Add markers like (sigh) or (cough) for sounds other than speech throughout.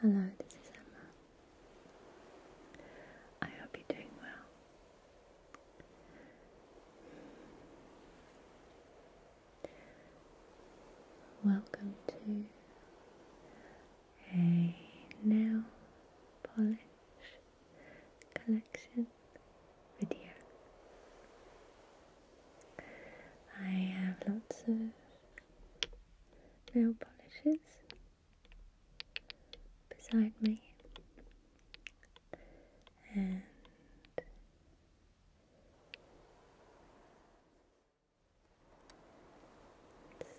Hello, this is Emma. I hope you're doing well. Welcome to a nail polish collection video. I have lots of nail polishes beside me and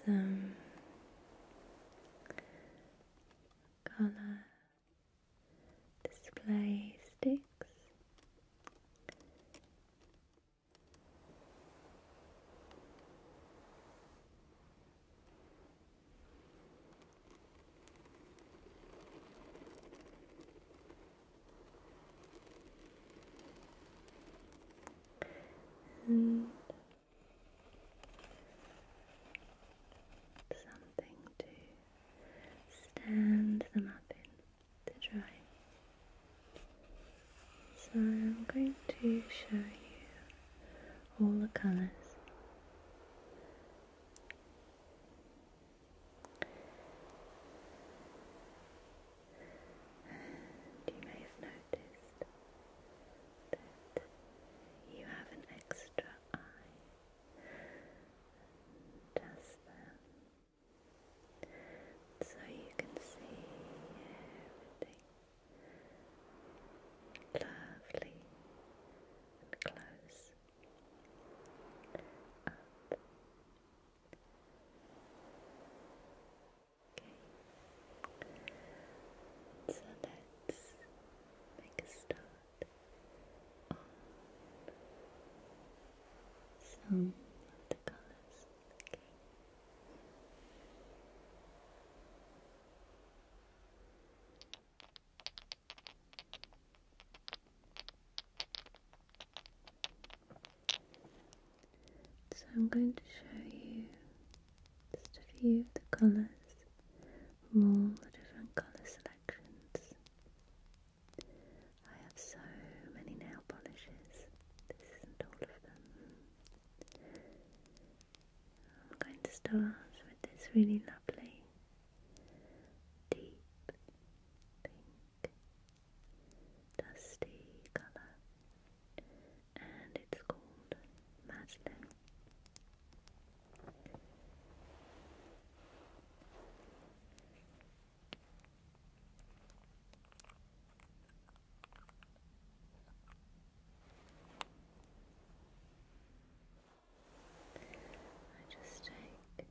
some colour display sticks. And something to stand them up in to dry. So I'm going to show you all the colours. you may have noticed that you have an extra eye. Just then so you can see everything lovely and close Okay, so let's make a start some of the colors. Okay. So I'm going to show you just a few of the colours from all the different colour selections. I have so many nail polishes. This isn't all of them. I'm going to start with this really lovely deep dusty colour and it's called Madeline. I just take one.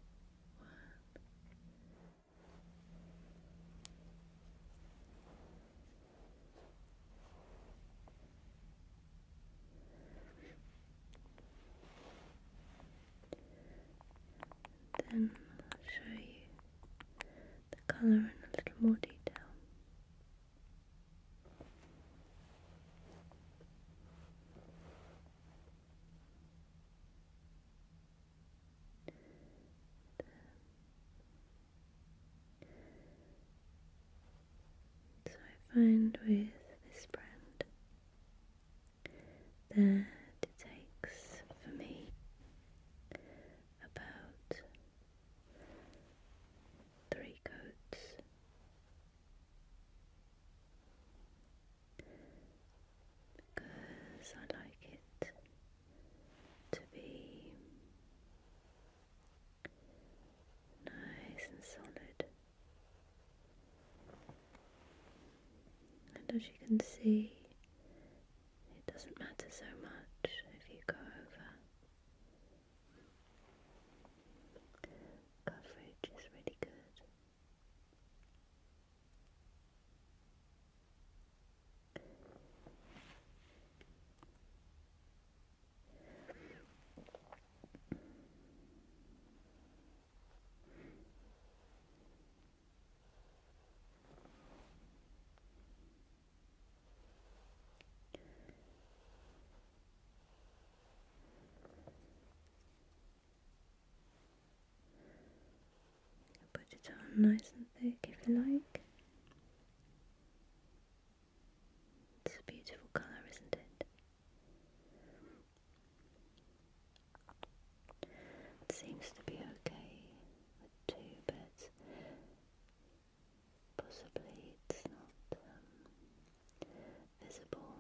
Then I'll show you the colour in a little more detail. So I find with this brand that it takes for me about three coats because I like it to be nice and solid. And as you can see, it doesn't matter so much if you go over. Coverage is really good. Put it on nice and thick if you like. It's a beautiful colour, isn't it? It seems to be okay with two, but possibly it's not um, visible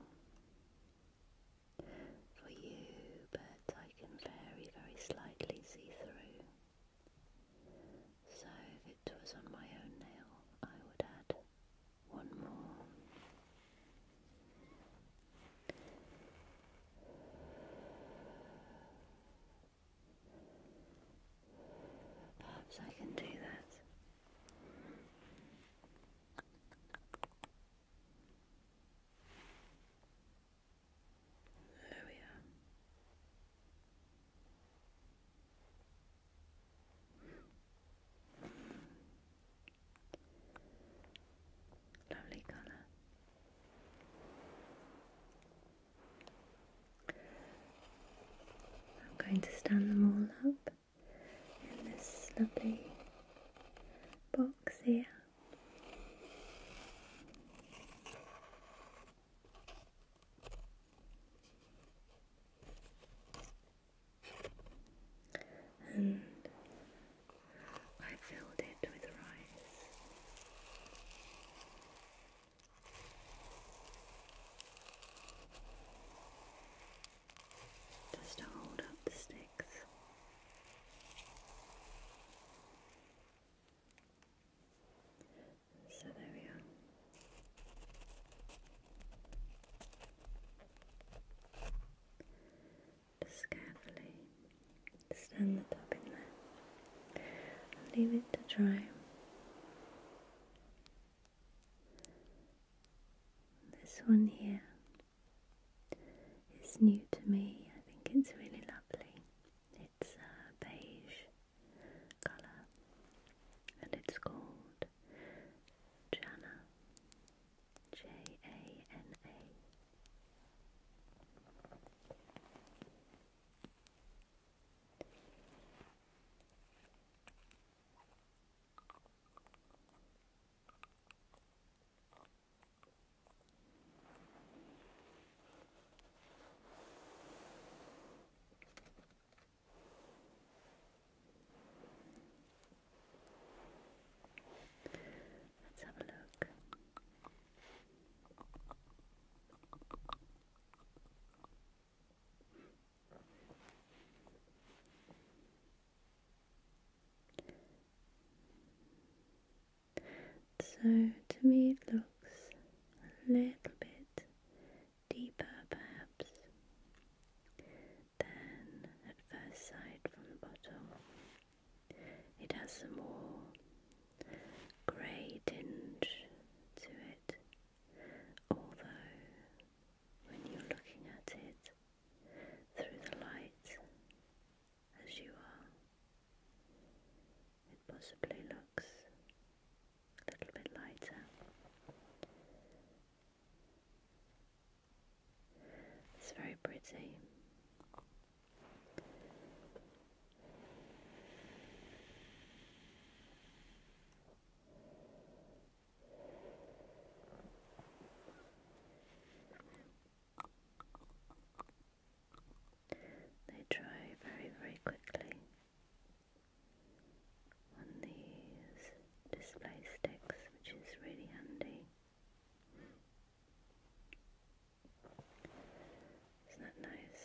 for you, but I can very, very slightly see through. So if it was on my own nail, I would add one more Perhaps I can do that. There we are. Lovely colour. I'm going to stand them all up in this lovely box here and I filled it with rice. Just to hold up the sticks. So there we are. Just carefully stand the top in there leave it to dry. This one here is new to me. I think it's really lovely. It's a beige colour and it's called Jana. J A N A. Let's have a look. So to me, it looks a little bit deeper, perhaps. Then, at first sight from the bottle, it has a more grey tinge to it, although when you're looking at it through the light as you are, it possibly looks a little bit lighter. It's very pretty. They dry very, very quickly on these display sticks, which is really handy. Isn't that nice?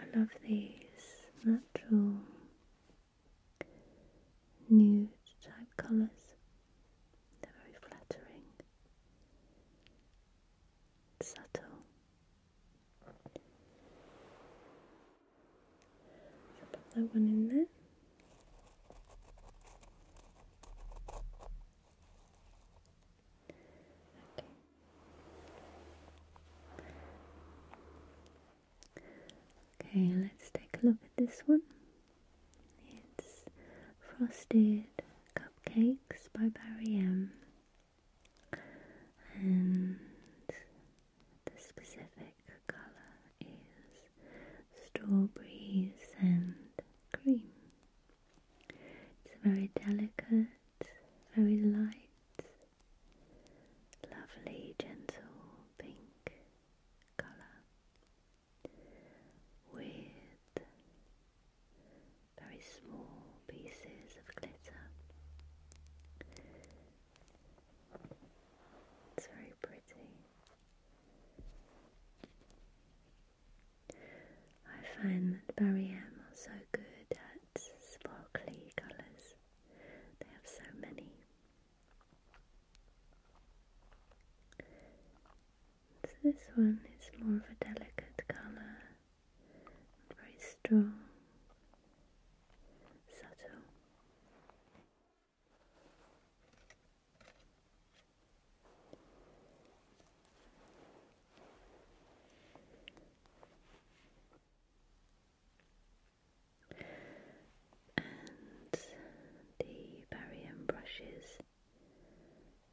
I love these natural nude type colours. They're very flattering, subtle. So put that one in there. Okay. Okay, let's take a look at this one. It's Frosted Cupcakes by Barry M. And the specific colour is strawberries and cream. It's very delicate, very light, lovely, gentle pink colour with very small pieces of glitter. It's very pretty. I find that Barry M are so good at sparkly colours. They have so many. So this one is more of a delicate colour, very strong, subtle. And the barium brushes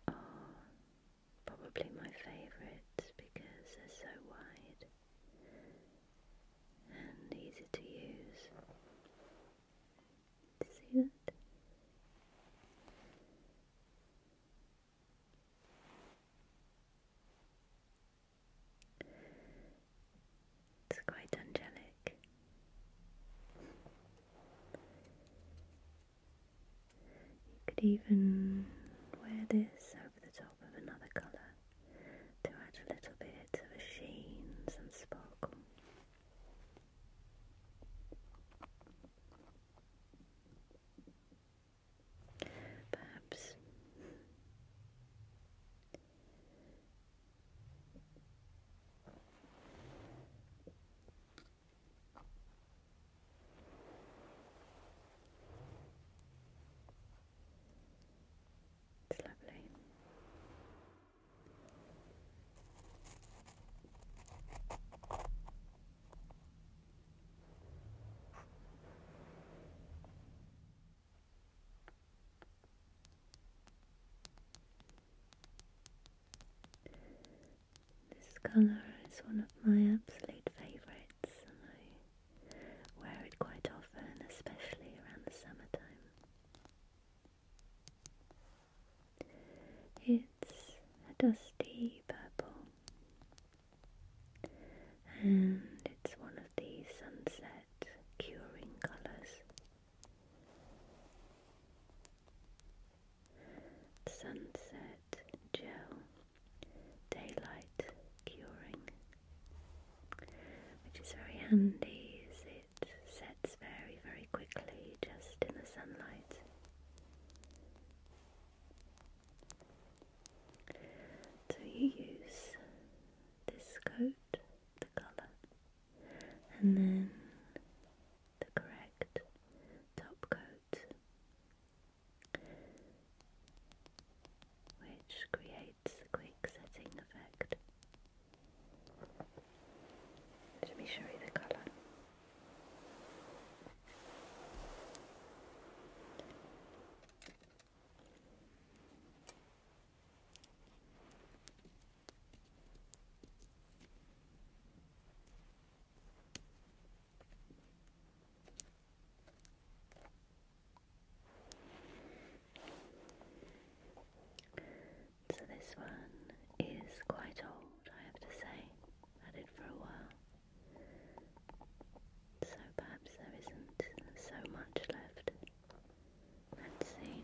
are probably my favourite because they're so wide and easy to use. see that? It's quite angelic. You could even wear this over the top of another colour to add a little bit of a sheen, and sparkle. Perhaps it's lovely. This colour is one of my absolute favourites, and I wear it quite often, especially around the summertime. It's a dusty purple, and it's one of the sunset curing colours. Sunset gel, daylight curing which is very handy as it sets very, very quickly just in the sunlight. So you use this coat, the colour, and then the correct top coat which creates a quick setting effect. Let me show you the colour. So this one is quite old, I have to say. had it for a while. So perhaps there isn't so much left. Let's see.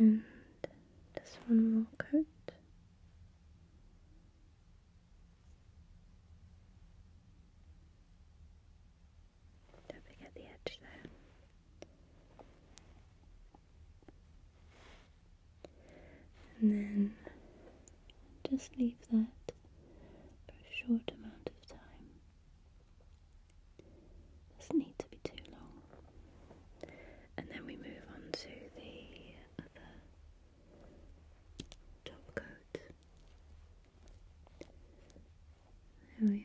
And just one more coat. Don't forget the edge there. And then just leave that for a short amount of time. Doesn't need to be too long. And then we move on to the other top coat. There we are.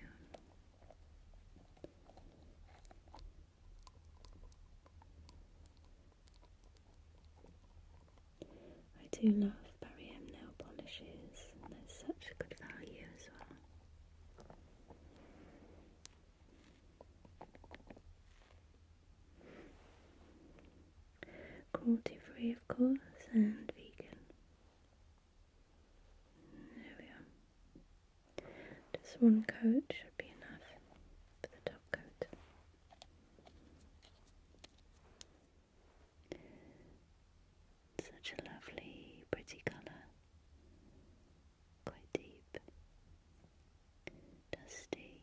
I do love Barry M nail polishes, and they're such a good value as well. Cruelty free, of course, and vegan. There we are. Just one coat should be enough for the top coat. Such a lovely, pretty colour, quite deep, dusty.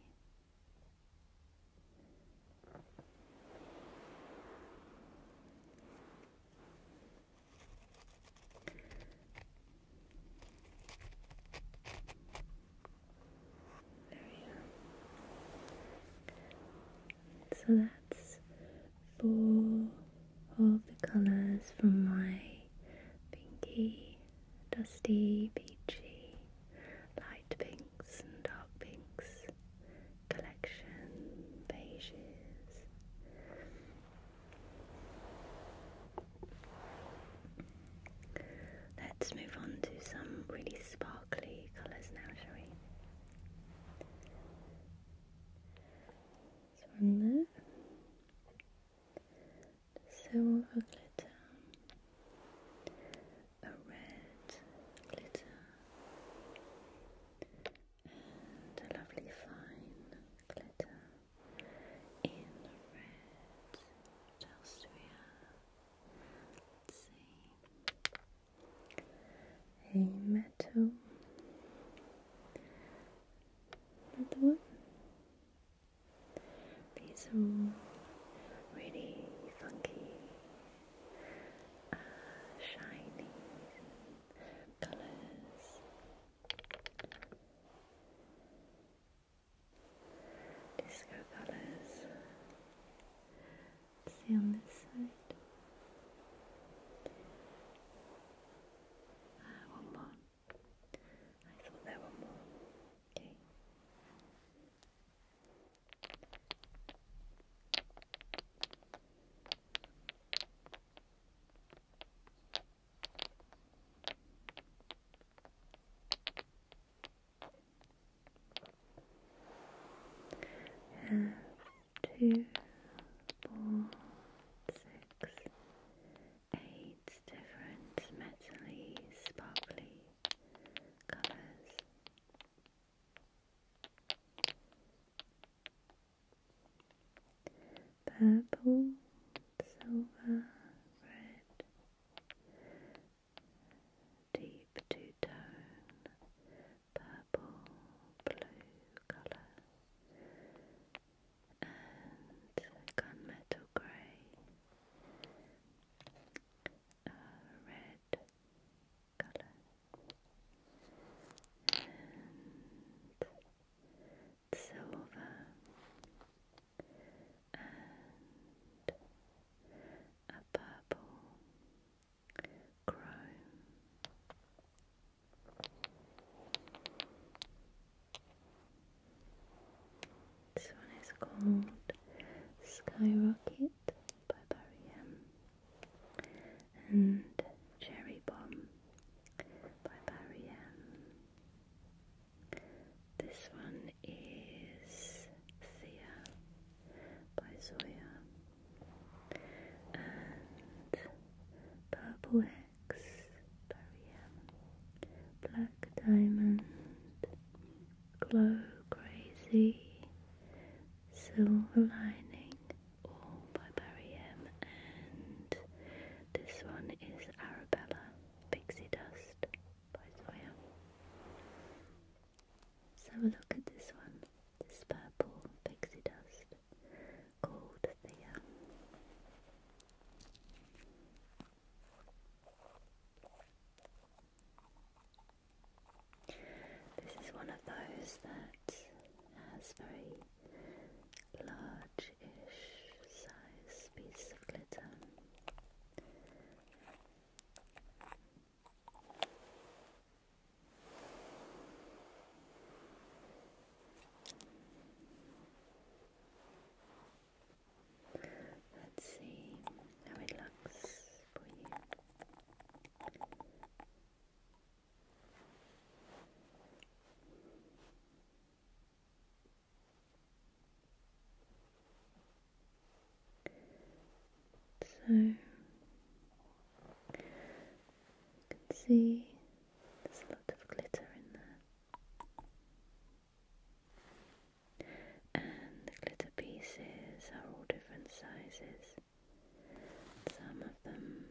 There we are. So that's four of the colours from my pinky, dusty, peachy, light pinks and dark pinks collection, beiges. Let's move on to some really sparkly colours now, shall we? This one Silver glitter, a red glitter, and a lovely fine glitter in red. What else do we have? let A metal. Another one. These are all really funky, uh, shiny colors. Disco colors. See on this side. Ah, one more. I thought there were more. Okay. Have two, four, six, eight different metally sparkly colours purple, silver, red, deep two tone, purple, blue colour, and gunmetal grey, red colour, and silver and a purple chrome. This one is called Skyrocket by Barry M and Cherry Bomb by Barry M. This one is Thea by Zoya and Purple X Barium, Black Diamond, Glow Crazy, Silver Lining, all by Barry and this one is Arabella Pixie Dust by Zoya. have a look at this one, this purple pixie dust called Thea. This is one of those that has very large-ish size piece of glitter. Let's see how it looks for you. So you can see there's a lot of glitter in there. And the glitter pieces are all different sizes. Some of them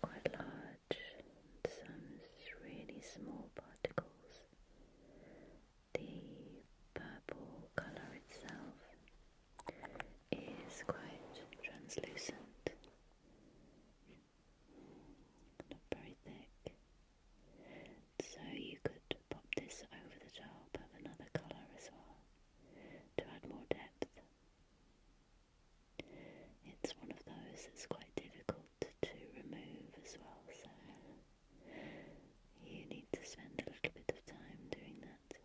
quite large some really small particles. The purple colour itself is quite translucent, not very thick. So you could pop this over the top of another colour as well to add more depth. It's one of those that's quite difficult to remove as well, so you need to spend a little bit of time doing that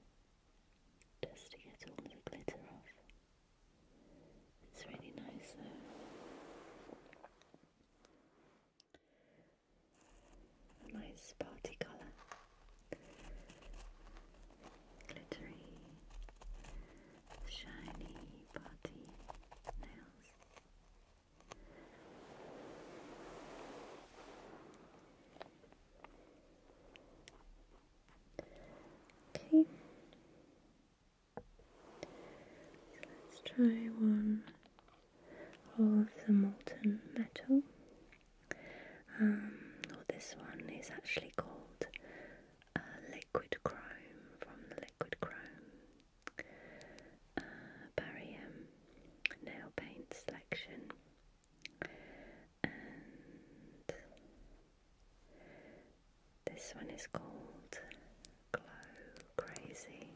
just to get all the glitter off. It's really nice though. A nice party colour. Glittery shiny body nails. Okay, let's try one of the molten metal. Um, or this one is actually gold liquid chrome from liquid chrome uh, barium nail paint selection and this one is called Glow Crazy.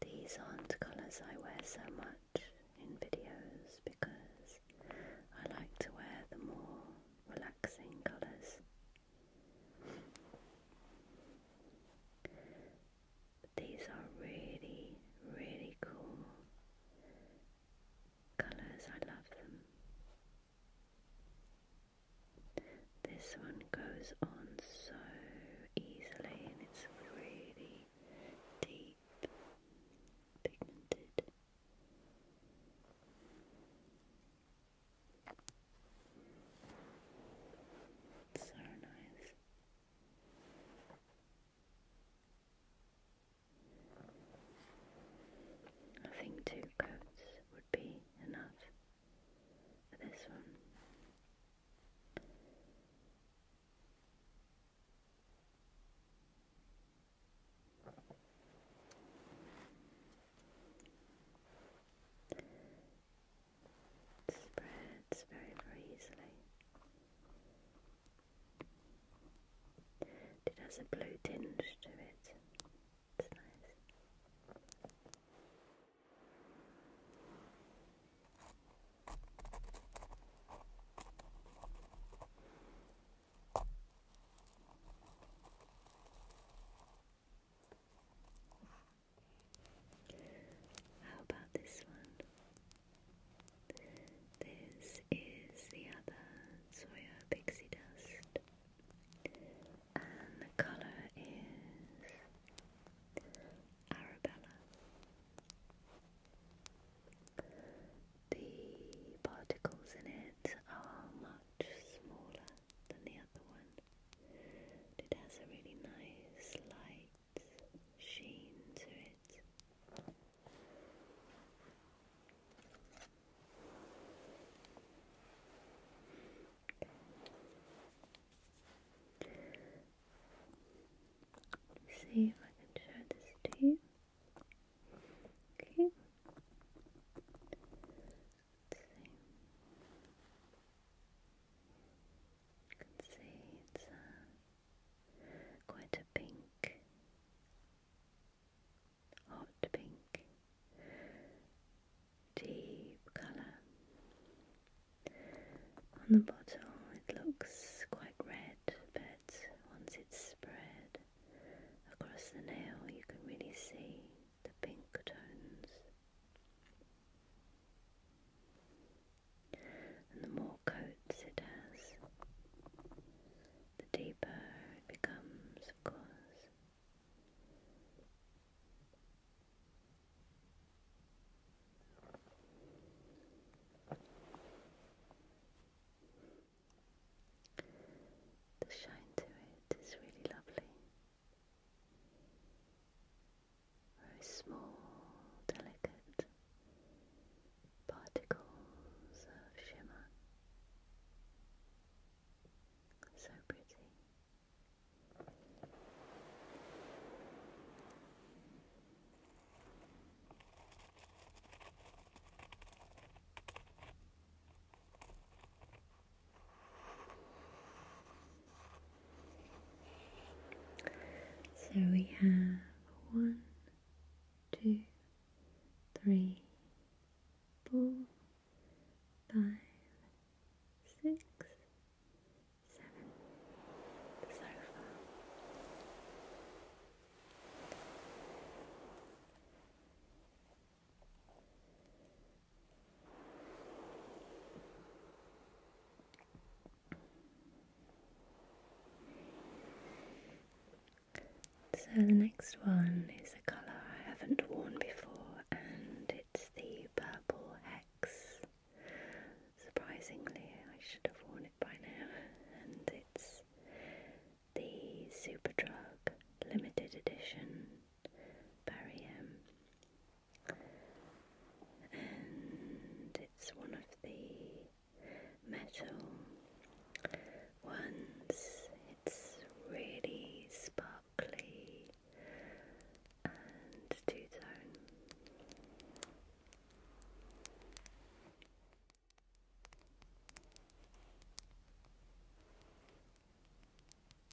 These aren't colours I wear so much in videos because I like to wear the more relaxing colours. These are really, really cool colours. I love them. This one goes on so easily and it's really deep, pigmented. So nice. I think two coats would be enough for this one spreads very, very easily. It has a blue tinge to it. It's nice. How about this one? This is the other Soya Pixie Dust, and the colour is Arabella. The particles in it are much smaller than the other one, it has a really nice light sheen to it. See if I can show this to you. Okay. You can see it's uh, quite a pink, hot pink, deep colour. On the bottle it looks quite red, but once it's spread across the nail you can really see the pink tones the more coats it has, the deeper it becomes, of course. The shine to it is really lovely very small, delicate particles of shimmer. So pretty. So we have one, two, three, four, five, six, seven so far. So the next one is a colour I haven't worn before and it's the purple hex. Surprisingly, I should have worn it by now, and it's the Superdrug Limited Edition Barium and it's one of the metal ones. It's really sparkly and two tone.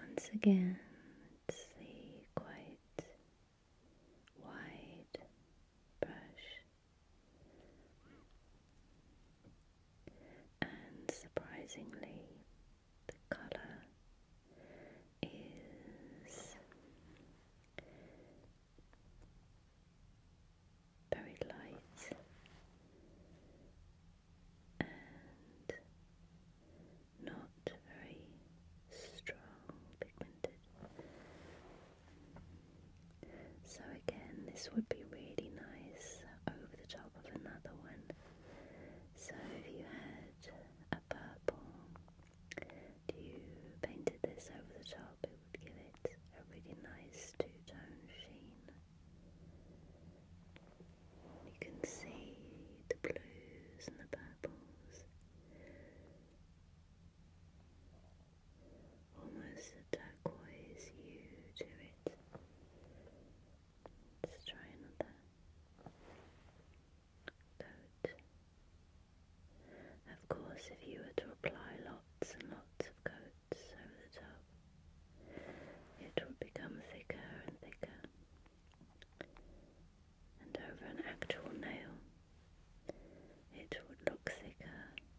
Once again, it's the quite wide brush. And surprisingly, the colour is very light and not very strong pigmented. So again, this would be really nice over the top of another one. So if you had a purple, you painted this over the top, it would give it a really nice two-tone sheen. You can see the blues and the purples. Almost a turquoise hue to it. Let's try another coat. Of course, if you were to apply lots and lots of coats over the top, it would become thicker and thicker, and over an actual nail, it would look thicker,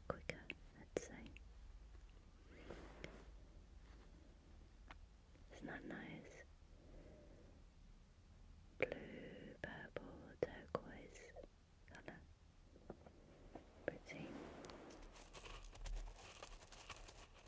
quicker, let's say. Isn't nice? Blue, purple, turquoise colour. Pretty.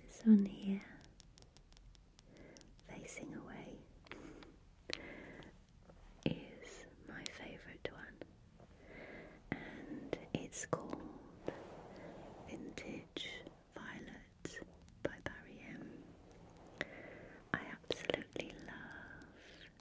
This one here, facing away, is my favourite one, and it's called Vintage Violet by Barry M. I absolutely love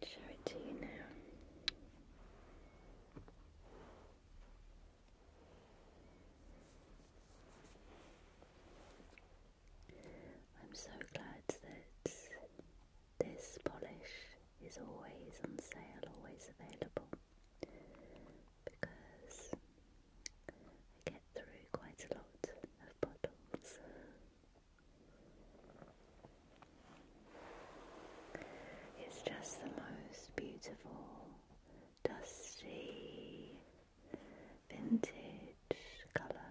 Let's show it to you now. I'm so glad that this polish is always on sale, always available because I get through quite a lot of bottles. It's just the most beautiful, dusty, vintage colour.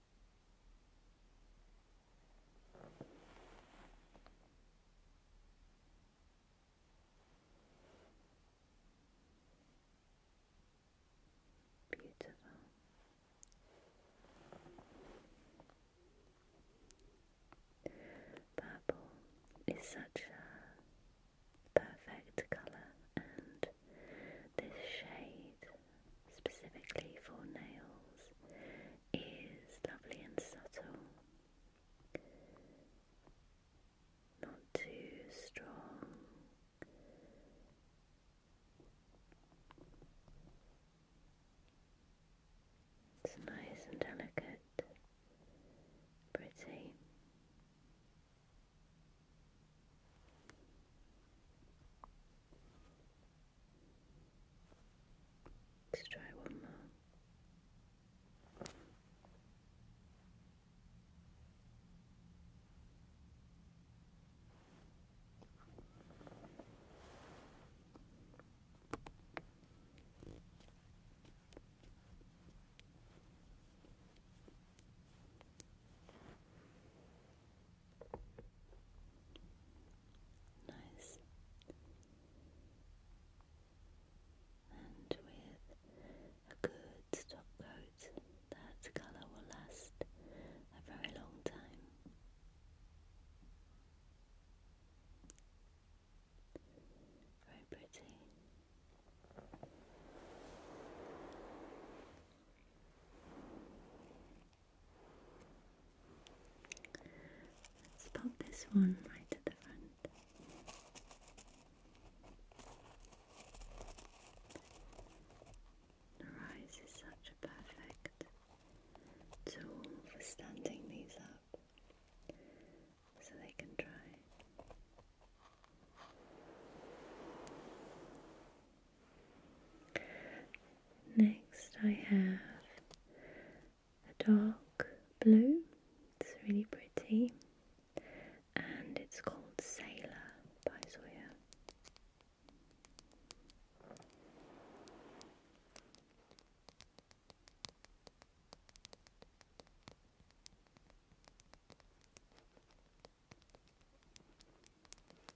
Beautiful. Purple is such a perfect colour, and this shade specifically for nails, is lovely and subtle. Not too strong. It's nice and delicate, pretty. Let's try one more. Nice. And with a good top coat, that colour will last a very long time. Very pretty. Let's pop this one right at the front. The rise is such a perfect tool for standing these up so they can dry. Next, I have a dark blue, it's really pretty, and it's called Sailor by Zoya.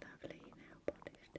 Lovely, now polished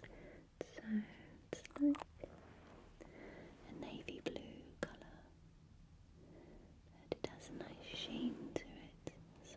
So it's like a navy blue colour, and it has a nice sheen to it as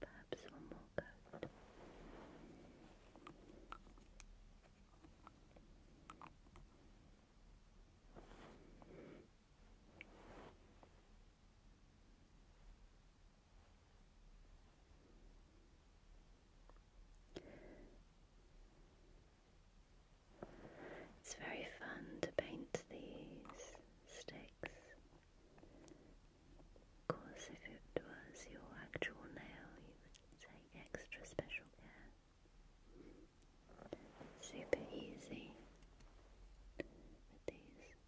Perhaps one more coat. It's very fun to paint these sticks. Of if it was your actual nail, you would take extra special care. Super easy with these.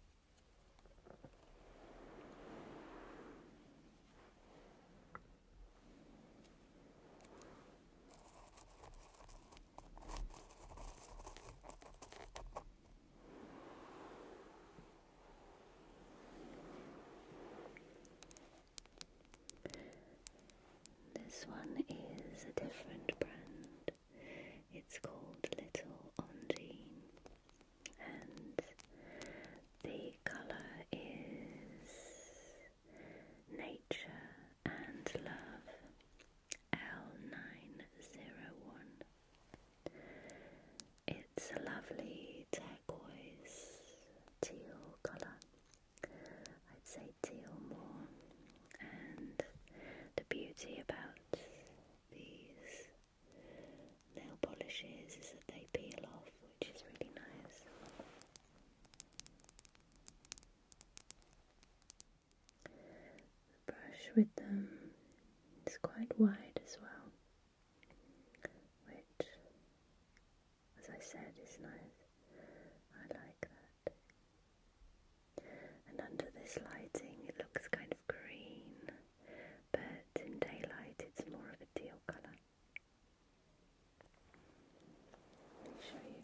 This one is a different brand. It's called Little Undine, and the colour is nature and love. L901. It's a lovely turquoise teal colour. I'd say teal more. And the beauty about these nail polishes is that they peel off, which is really nice. The brush with them is quite wide as well, which, as I said, is nice. I like that. And under this lighting, it looks kind of green, but in daylight, it's more of a teal colour. Let me show you.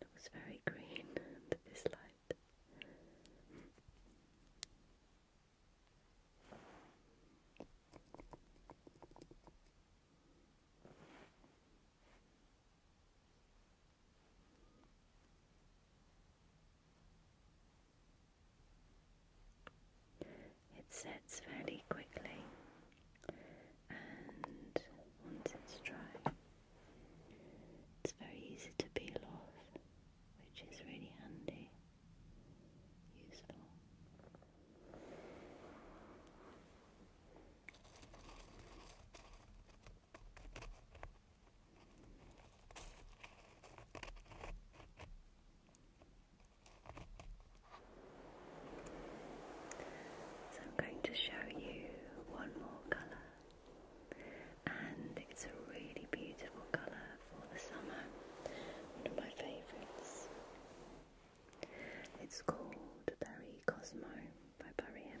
It was very green under (laughs) this light. It sets fairly quickly, and once it's dry, it's very easy to peel off, which is really handy, useful. So I'm going to show you one more colour, and it's a really beautiful colour for the summer, one of my favourites. It's called Barry Cosmo by Barry M.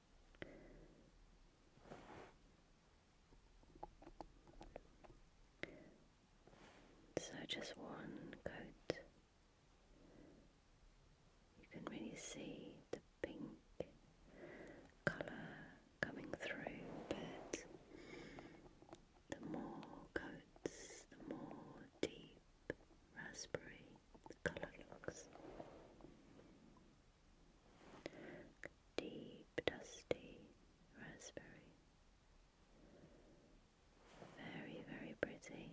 So just one coat. You can really see the pink colour coming through, but the more coats, the more deep raspberry colour looks deep dusty raspberry. Very, very pretty.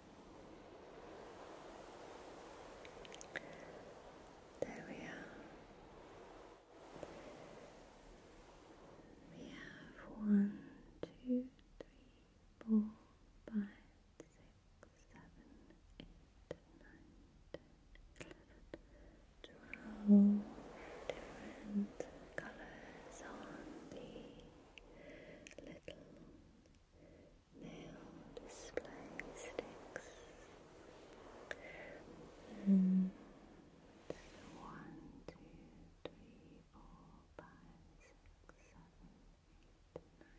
There we are. We have one, two, three, four, five, six, seven, eight, nine, ten, eleven, twelve different colours on the little They'll display sticks one, two, three, four, five, six, seven, eight, nine,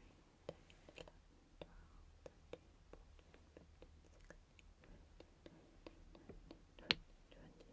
ten, eleven, twelve, thirteen, fourteen, fifteen, sixteen, seventeen, eighteen, nineteen, twenty, twenty-one,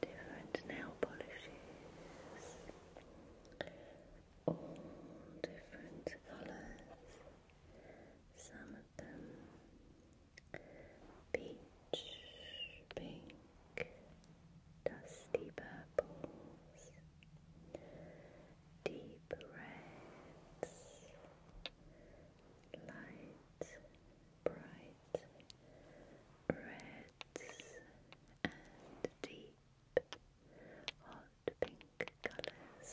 different nail polishes, all different colors, some of them peach, pink, dusty purples deep reds, light, bright reds, and deep hot pink colours.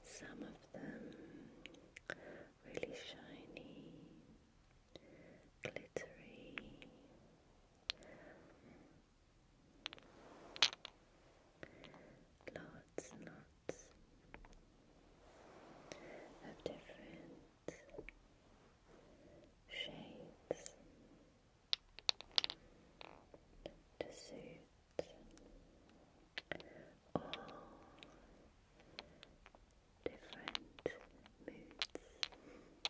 And some of them really shiny glittery. Lots and lots of different shades to suit all different moods.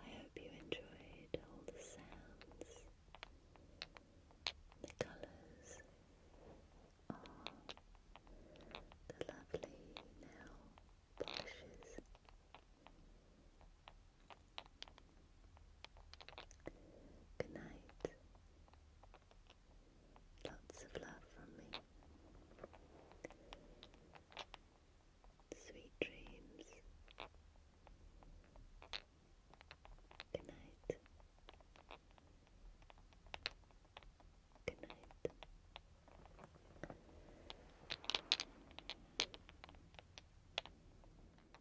I hope you enjoyed all the sounds, the colours are the lovely nail polishes Good night. Lots of love from me. Sweet dreams. Good night. Good night.